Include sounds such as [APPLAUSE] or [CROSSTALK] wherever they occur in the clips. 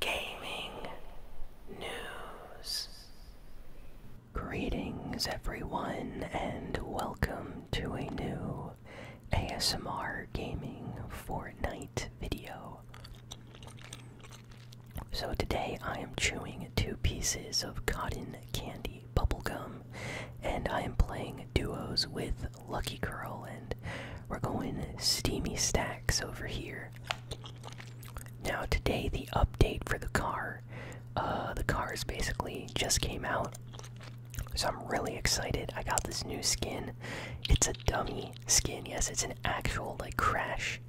gaming news. Greetings, everyone, and welcome to a new ASMR Gaming Fortnite video. So, today I am chewing two pieces of cotton candy bubblegum, and I am playing duos with Lucky Curl, and we're going steamy stacks over here. Now today the update for the car, uh, the cars basically just came out, so I'm really excited. I got this new skin. It's a dummy skin. Yes, it's an actual like crash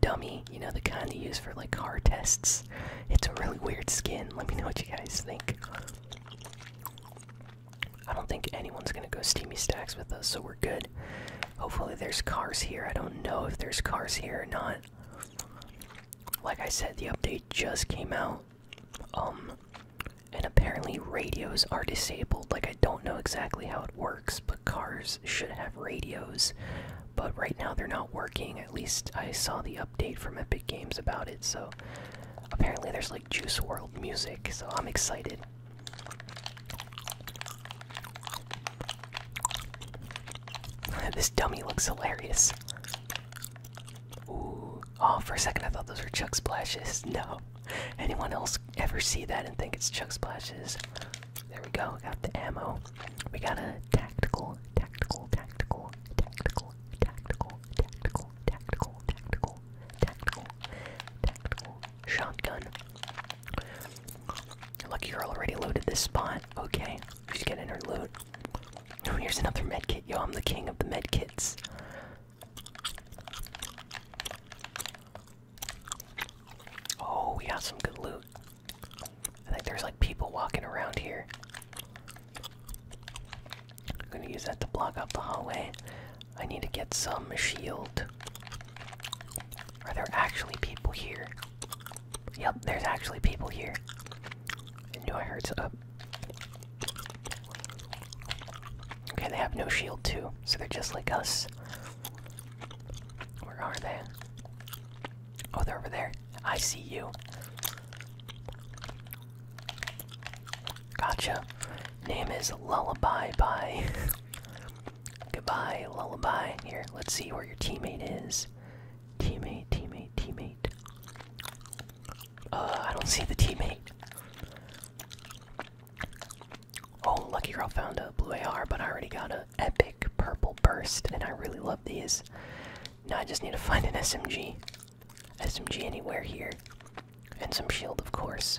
dummy. You know the kind they use for like car tests. It's a really weird skin. Let me know what you guys think. I don't think anyone's gonna go steamy stacks with us, so we're good. Hopefully, there's cars here. I don't know if there's cars here or not. Like I said, the update just came out. Um, and apparently, radios are disabled. Like, I don't know exactly how it works, but cars should have radios. But right now, they're not working. At least, I saw the update from Epic Games about it. So, apparently, there's like Juice World music. So, I'm excited. [LAUGHS] this dummy looks hilarious. Oh, for a second I thought those were Chuck Splashes. [LAUGHS] No. Anyone else ever see that and think it's Chuck Splashes? There we go. Got the ammo. We got a tactical, tactical, tactical, tactical, tactical, tactical, tactical, tactical, tactical, tactical shotgun. Look, you're already loaded this spot. Okay, she's getting her loot. Oh, here's another med kit, Yo, I'm the king of the med kits. Oh, we got some good loot. I think there's like people walking around here. I'm gonna use that to block up the hallway. I need to get some shield. Are there actually people here? Yep, there's actually people here. I knew I heard up. Okay, they have no shield too, so they're just like us. Where are they? Oh, they're over there. I see you. Gotcha. Name is Lullaby by [LAUGHS] Goodbye, lullaby. Here, let's see where your teammate is. Teammate, teammate, teammate. Uh, I don't see the teammate. Oh, Lucky Girl found a blue AR, but I already got an epic purple burst, and I really love these. Now I just need to find an SMG. SMG anywhere here. And some shield, of course.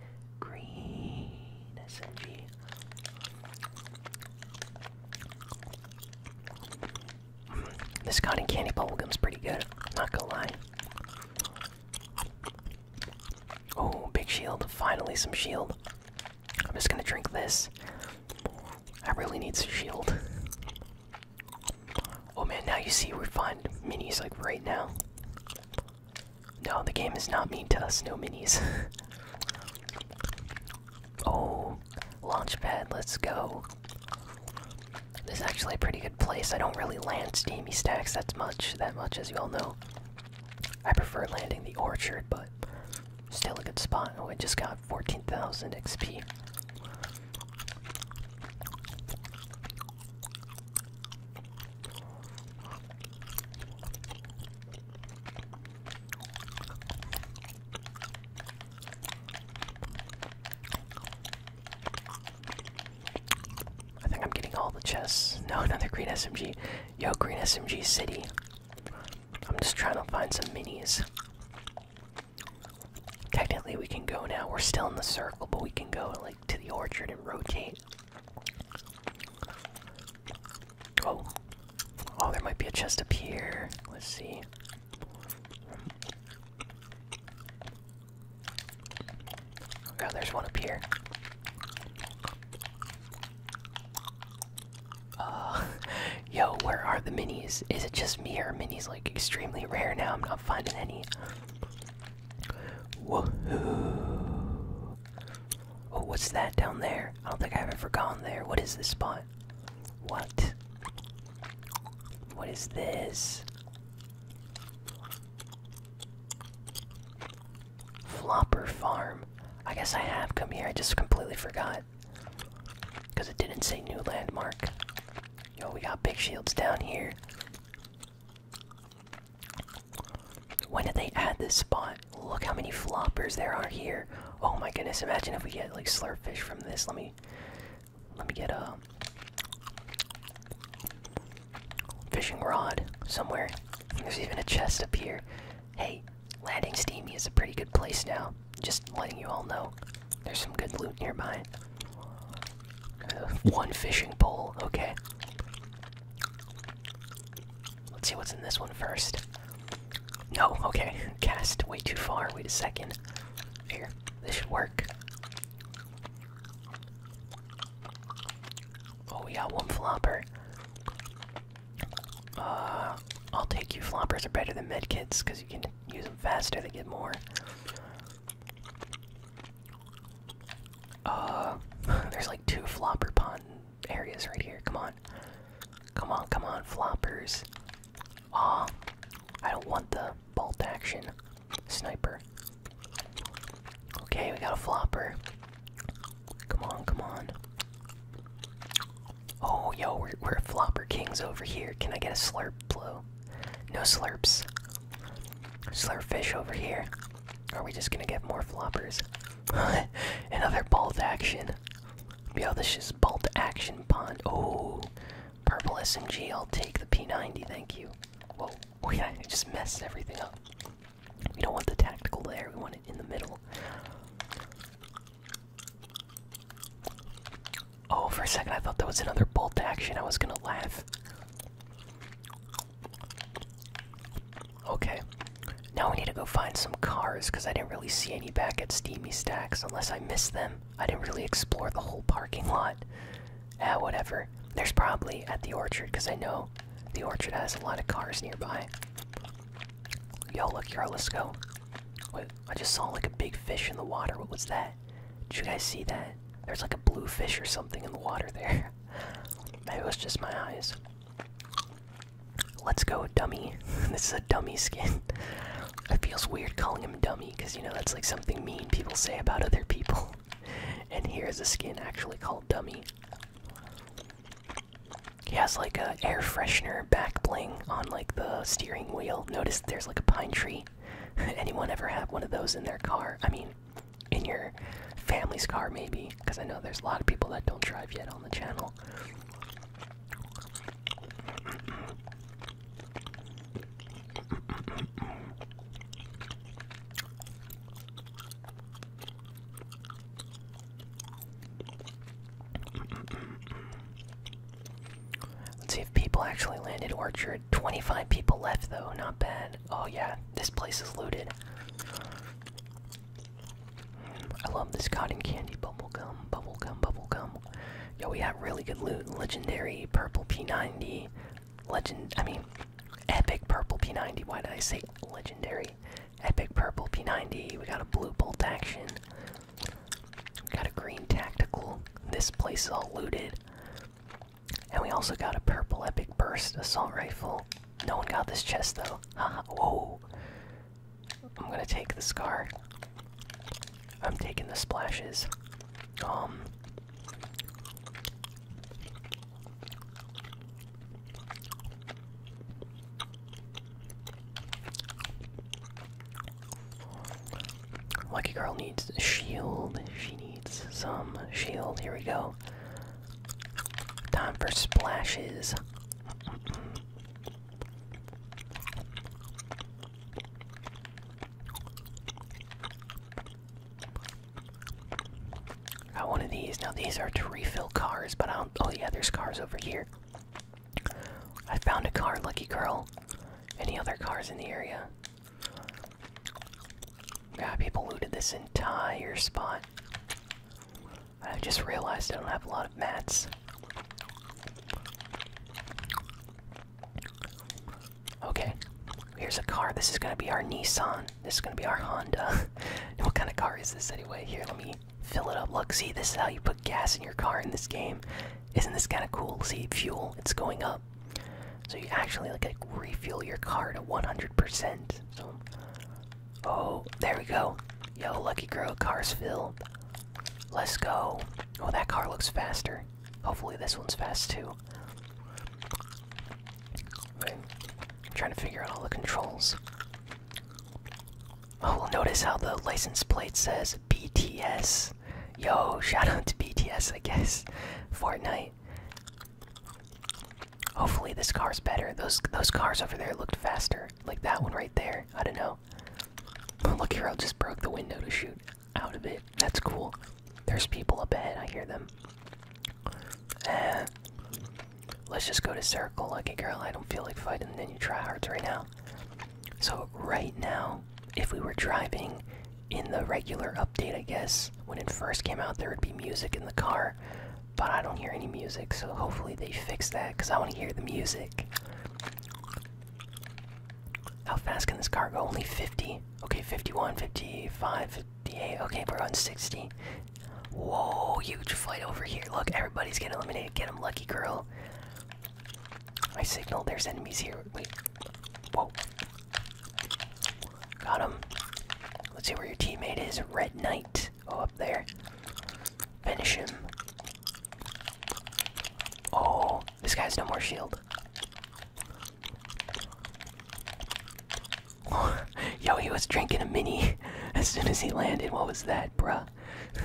Green SMG. This cotton candy bubblegum's pretty good, not gonna lie. Oh, big shield. Finally, some shield. I'm just gonna drink this. I really need some shield. Oh man, now you see we find minis like right now. No, the game is not mean to us, no minis. [LAUGHS] oh, launchpad, let's go. This is actually a pretty good place. I don't really land steamy stacks that much, that much as you all know. I prefer landing the orchard, but still a good spot. Oh, I just got 14,000 XP. I think I'm getting all the chests. No, another green SMG. Yo, green SMG city. I'm just trying to find some minis. Technically, we can go now. We're still in the circle, but we can go like to the orchard and rotate. Oh, oh, there might be a chest up here. Let's see. Oh, there's one up here. Uh, [LAUGHS] yo, where are the minis? Is it just me or minis like extremely rare now? I'm not finding any. Woohoo! Oh, what's that down there? I don't think I have ever gone there. What is this spot? What? What is this? Flopper Farm. I guess I have come here. I just completely forgot. Because it didn't say new landmark. Yo, we got big shields down here. When did they add this spot? Look how many floppers there are here. Oh my goodness, imagine if we get like slurp fish from this. Let me let me get a fishing rod somewhere. There's even a chest up here. Hey, landing steamy is a pretty good place now. Just letting you all know. There's some good loot nearby one fishing pole, okay. Let's see what's in this one first. No, okay. Cast way too far. Wait a second. Here, this should work. Oh, we got one flopper. Uh, I'll take you. Floppers are better than medkits because you can use them faster, they get more. Uh, [LAUGHS] there's like two flopper pond areas right here. Come on. Come on, come on, floppers. Aw, I don't want the bolt action sniper. Okay, we got a flopper. Come on, come on. Oh, yo, we're, we're flopper kings over here. Can I get a slurp blow? No slurps. Slurfish over here. Are we just gonna get more floppers? [LAUGHS] Another bolt action. Yeah, this is bolt action pond. Oh, purple SMG. I'll take the P90. Thank you. Whoa, oh [LAUGHS] yeah, I just messed everything up. We don't want the tactical there. We want it in the middle. Oh, for a second I thought that was another bolt action. I was gonna laugh. Okay. Now we need to go find some cars because I didn't really see any back at Steamy Stacks unless I missed them. I didn't really explore the whole parking lot. Ah, whatever. There's probably at the orchard because I know the orchard has a lot of cars nearby. Yo, look, here, let's go. Wait, I just saw like a big fish in the water. What was that? Did you guys see that? There's like a blue fish or something in the water there. [LAUGHS] Maybe it was just my eyes. Let's go, dummy. [LAUGHS] this is a dummy skin. [LAUGHS] it feels weird calling him dummy because you know that's like something mean people say about other people. [LAUGHS] And here's a skin actually called dummy. He has like a air freshener back bling on like the steering wheel. Notice there's like a pine tree. Anyone ever have one of those in their car? I mean, in your family's car, maybe, because I know there's a lot of people that don't drive yet on the channel. Let's see if people actually landed Orchard. 25 people left though, not bad. Oh yeah, this place is looted. I love this cotton candy bubble bubble gum, gum, bubble gum. Yo, we got really good loot. Legendary purple P90. Legend, I mean, epic purple P90. Why did I say legendary? Epic purple P90. We got a blue bolt action. We got a green tactical. This place is all looted. And we also got a purple epic burst assault rifle. No one got this chest though. whoa. I'm gonna take the scar. I'm taking the splashes. Um Lucky girl needs shield. She needs some shield. Here we go. Time for splashes. Got one of these. Now these are to refill cars, but I don't. Oh yeah, there's cars over here. I found a car, Lucky Girl. Any other cars in the area? Yeah, people looted this entire spot. I just realized I don't have a lot of mats. Okay, here's a car. This is gonna be our Nissan. This is gonna be our Honda. [LAUGHS] what kind of car is this anyway? Here, let me fill it up. Look, see, this is how you put gas in your car in this game. Isn't this kind of cool? See, fuel, it's going up. So you actually like, like refuel your car to 100%. So, oh, there we go. Yo, lucky girl, cars filled. Let's go. Oh, that car looks faster. Hopefully, this one's fast too. I'm trying to figure out all the controls. Oh, we'll notice how the license plate says BTS. Yo, [LAUGHS] shout out to BTS, I guess. Fortnite. Hopefully this car's better. Those those cars over there looked faster, like that one right there. I don't know. [LAUGHS] Look here, I just broke the window to shoot out of it. That's cool. There's people up ahead. I hear them. Eh. let's just go to circle, lucky girl. I don't feel like fighting any tryhards right now. So right now, if we were driving in the regular update, I guess, when it first came out, there would be music in the car, but I don't hear any music, so hopefully they fix that because I want to hear the music. How fast can this car go? Only 50. Okay, 51, 55, 58. Okay, we're on 60. Whoa, huge fight over here. Look, everybody's getting eliminated. Get him, lucky girl. I signal there's enemies here. Wait. Whoa. Got him. Let's see where your teammate is. Red Knight. Oh, up there. Finish him. Oh, this guy's no more shield. [LAUGHS] Yo, he was drinking a mini [LAUGHS] as soon as he landed. What was that, bruh?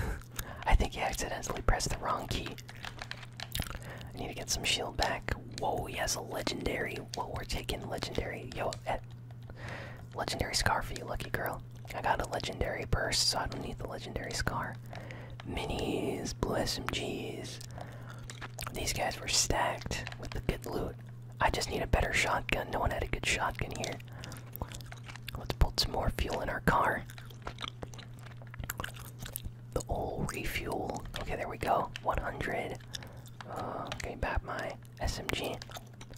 [LAUGHS] I think he accidentally pressed the wrong key. I need to get some shield back. Whoa, he has a legendary. Whoa, we're taking legendary. Yo, eh, legendary scar for you, lucky girl. I got a legendary purse, so I don't need the legendary scar. Minis, blue SMGs. These guys were stacked with the good loot. I just need a better shotgun. No one had a good shotgun here. Let's put some more fuel in our car. The old refuel. Okay, there we go. 100. Uh, okay, bap my SMG.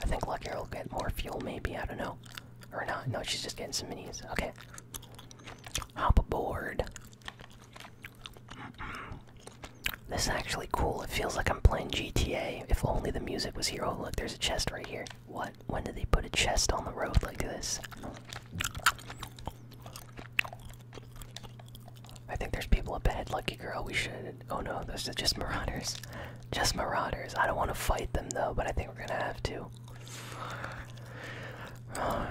I think Luckier will get more fuel, maybe. I don't know. Or not. No, she's just getting some minis. Okay. Hop aboard. This is actually cool. It feels like I'm playing GTA. If only the music was here. Oh, look, there's a chest right here. What? When did they put a chest on the road like this? I think there's people up ahead, lucky girl. We should. Oh no, those are just marauders. Just marauders. I don't want to fight them though, but I think we're gonna have to. [SIGHS]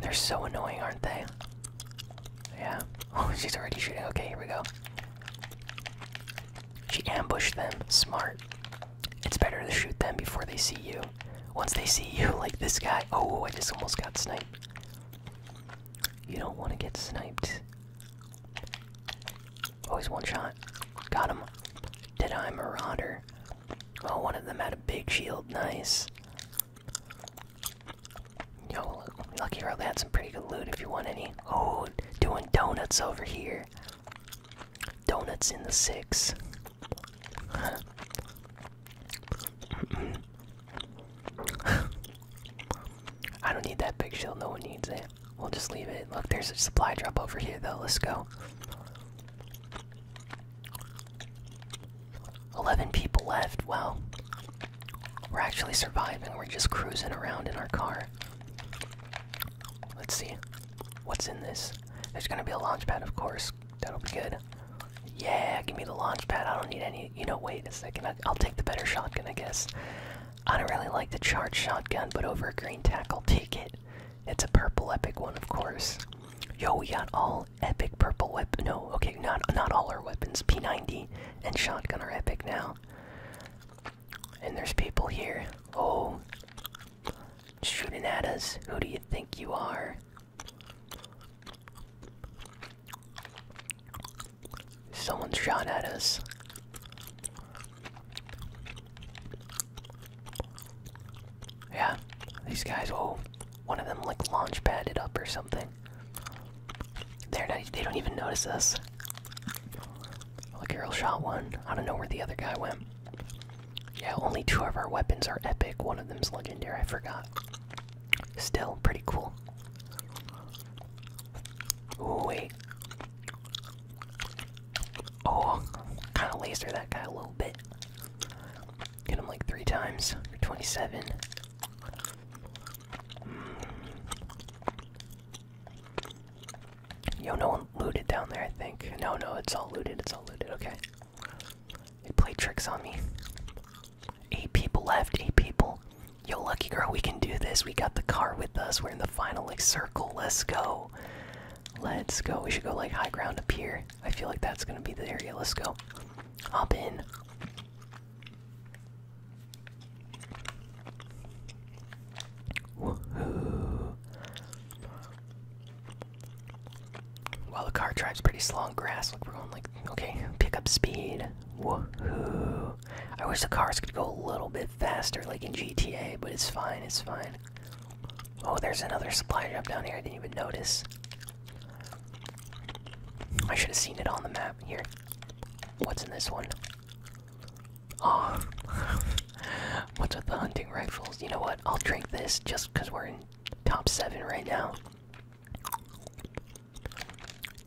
they're so annoying, aren't they? Yeah. [LAUGHS] Oh, she's already shooting. Okay, here we go. She ambushed them. Smart. It's better to shoot them before they see you. Once they see you, [LAUGHS] like this guy. Oh, I just almost got sniped. You don't want to get sniped. Always one shot. Got him. Did I Marauder? Oh, one of them had a big shield. Nice. Yo, Lucky Girl, had some pretty good loot if you want any. Oh, doing donuts over here. Donuts in the six. [LAUGHS] I don't need that big shield, no one needs it. We'll just leave it. Look, there's a supply drop over here though, let's go. 11 people left, Well, We're actually surviving, we're just cruising around in our car. Let's see. What's in this? There's gonna be a launch pad, of course. That'll be good. Yeah, give me the launch pad. I don't need any. You know, wait a second. I, will take the better shotgun, I guess. I don't really like the charged shotgun, but over a green tackle, take it. It's a purple epic one, of course. Yo, we got all epic purple weapon. No, okay, not not all our weapons. P90 and shotgun are epic now. And there's people here. Oh, shooting at us. Who do you think you are? Someone shot at us. Yeah, these guys. Oh, one of them like launch padded up or something. They're not. They don't even notice us. Look, Carol shot one. I don't know where the other guy went. Yeah, only two of our weapons are epic. One of them's legendary. I forgot. Still pretty cool. wait. Oh, kind of laser that guy a little bit. Get him like three times for 27. Mm. Yo, no one looted down there, I think. No, no, it's all looted, it's all looted, okay. They play tricks on me. Eight people left, eight people. Yo, lucky girl, we can do this. We got the car with us. We're in the final like circle. Let's go. Let's go. We should go like high ground up here. I feel like that's gonna be the area. Let's go. Hop in. While the car drives pretty slow on grass, Look, we're going like okay, pick up speed. Woohoo! I wish the cars could go a little bit faster, like in GTA, but it's fine. It's fine. Oh, there's another supply drop down here. I didn't even notice. I should have seen it on the map. Here, what's in this one? Oh, [LAUGHS] what's with the hunting rifles? You know what? I'll drink this just because we're in top seven right now.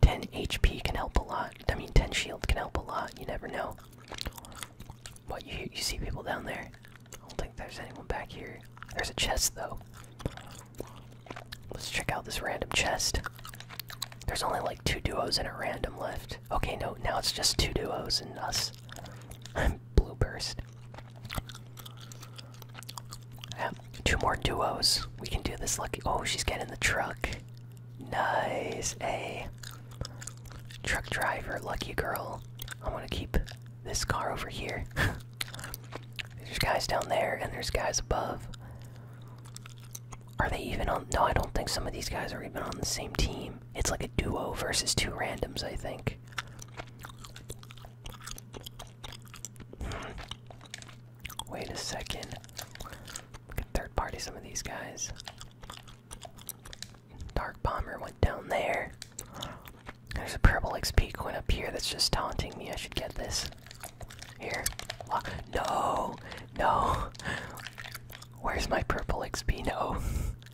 10 HP can help a lot. I mean, 10 shield can help a lot. You never know. But you, you see people down there. I don't think there's anyone back here. There's a chest, though. Let's check out this random chest. There's only like two duos and a random left. Okay, no, now it's just two duos and us. I'm [LAUGHS] blue burst two more duos. We can do this lucky. Oh, she's getting the truck. Nice. A truck driver, lucky girl. i want to keep this car over here. [LAUGHS] there's guys down there, and there's guys above. Are they even on? No, I don't think some of these guys are even on the same team. It's like a duo versus two randoms, I think. Wait a second. We can third party some of these guys. Dark Bomber went down there. There's a purple XP coin up here that's just taunting me. I should get this. Here. No! No! Where's my purple XP? No.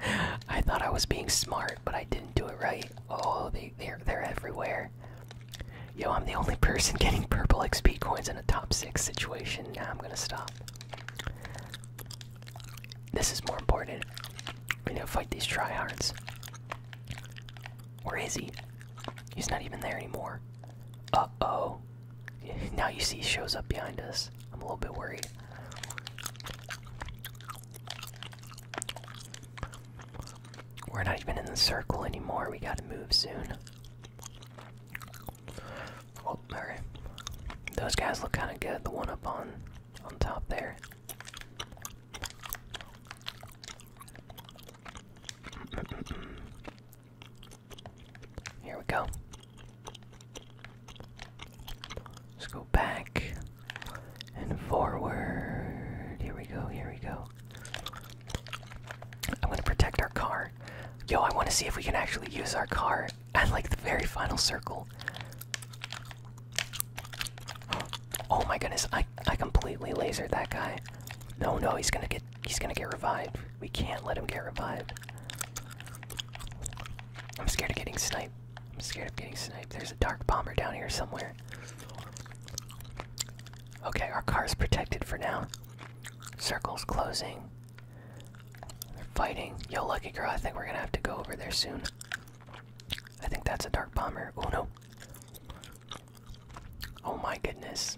[LAUGHS] I thought I was being smart, but I didn't do it right. Oh, they're, they're everywhere. Yo, I'm the only person getting purple XP coins in a top six situation. Now I'm gonna stop. This is more important. We need to fight these tryhards. Where is he? He's not even there anymore. Uh oh. [LAUGHS] Now you see he shows up behind us. I'm a little bit worried. We're not even in the circle anymore. We gotta move soon. Oh, alright. Those guys look kinda good, the one up on on top there. Here we go. Let's go back and forward. Here we go, here we go. I'm gonna protect our car. Yo, I wanna see if we can actually use our car at like the very final circle. Oh my goodness, I I completely lasered that guy. No no he's gonna get he's gonna get revived. We can't let him get revived. I'm scared of getting sniped. I'm scared of getting sniped. There's a dark bomber down here somewhere. Okay, our car's protected for now. Circle's closing. They're fighting. Yo, lucky girl, I think we're gonna have to go over there soon. I think that's a dark bomber. Oh no. Oh my goodness.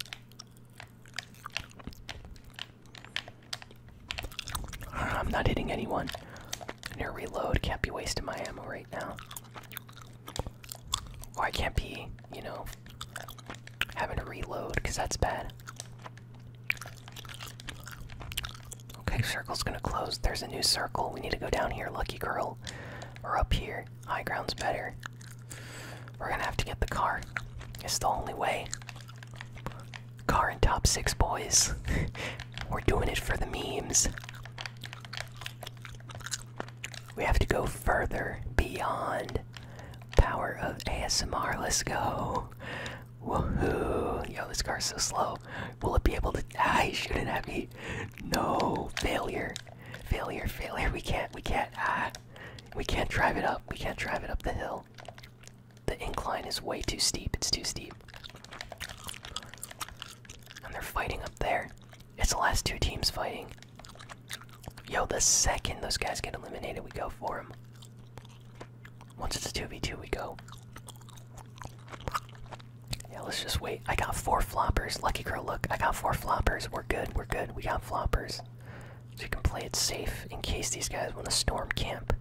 [SIGHS] I'm not hitting anyone. Near reload, can't be wasting my ammo right now. I can't be, you know, having to reload because that's bad. Okay, circle's gonna close. There's a new circle. We need to go down here, lucky girl. We're up here. High ground's better. We're gonna have to get the car. It's the only way. Car and top six boys. [LAUGHS] We're doing it for the memes. We have to go further beyond power of ASMR. Let's go. Woohoo! Yo, this car's so slow. Will it be able to die? [LAUGHS] shooting at me. No failure. Failure, failure. We can't, we can't. Ah. We can't drive it up. We can't drive it up the hill. The incline is way too steep. It's too steep. And they're fighting up there. It's the last two teams fighting. Yo, the second those guys get eliminated, we go for them. Once it's a 2v2, we go. Yeah, let's just wait. I got four floppers. Lucky girl, look, I got four floppers. We're good, we're good. We got floppers. So you can play it safe in case these guys want to storm camp.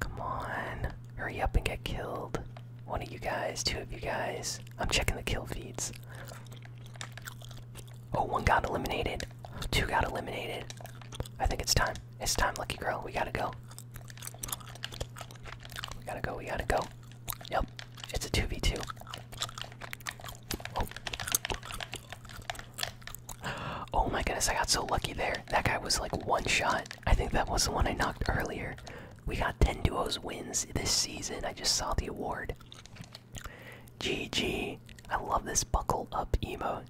Come on. Hurry up and get killed. One of you guys, two of you guys. I'm checking the kill feeds. Oh, one got eliminated. Two got eliminated. I think it's time. It's time, Lucky Girl. We gotta go. We gotta go, we gotta go. Nope. it's a 2v2. oh my goodness, I got so lucky there. That guy was like one shot. I think that was the one I knocked earlier. We got 10 duos wins this season. I just saw the award. GG. I love this buckle up emo.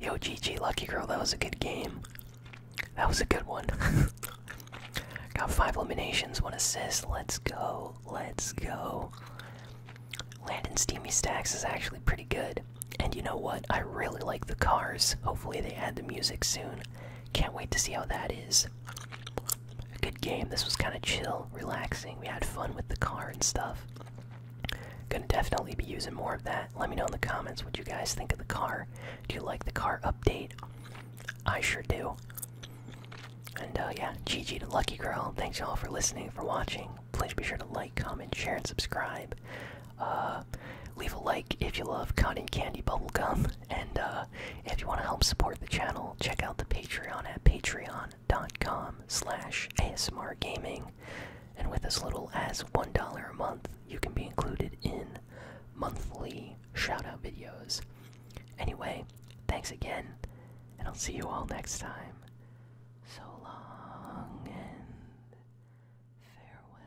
Yo, GG, Lucky Girl, that was a good game. That was a good one. [LAUGHS] got five eliminations, one assist. Let's go. Let's go. Landon Steamy Stacks is actually pretty good. And you know what? I really like the cars. Hopefully, they add the music soon. Can't wait to see how that is. good game. This was kind of chill, relaxing. We had fun with the car and stuff. Gonna definitely be using more of that. Let me know in the comments what you guys think of the car. Do you like the car update? I sure do. And uh, yeah, GG to Lucky Girl. Thanks y'all for listening, for watching. Please be sure to like, comment, share, and subscribe. Uh, leave a like if you love cotton candy bubblegum and uh, if you want to help support the channel check out the patreon at patreon.com slash asmr gaming and with as little as one dollar a month you can be included in monthly shoutout videos anyway thanks again and i'll see you all next time so long and farewell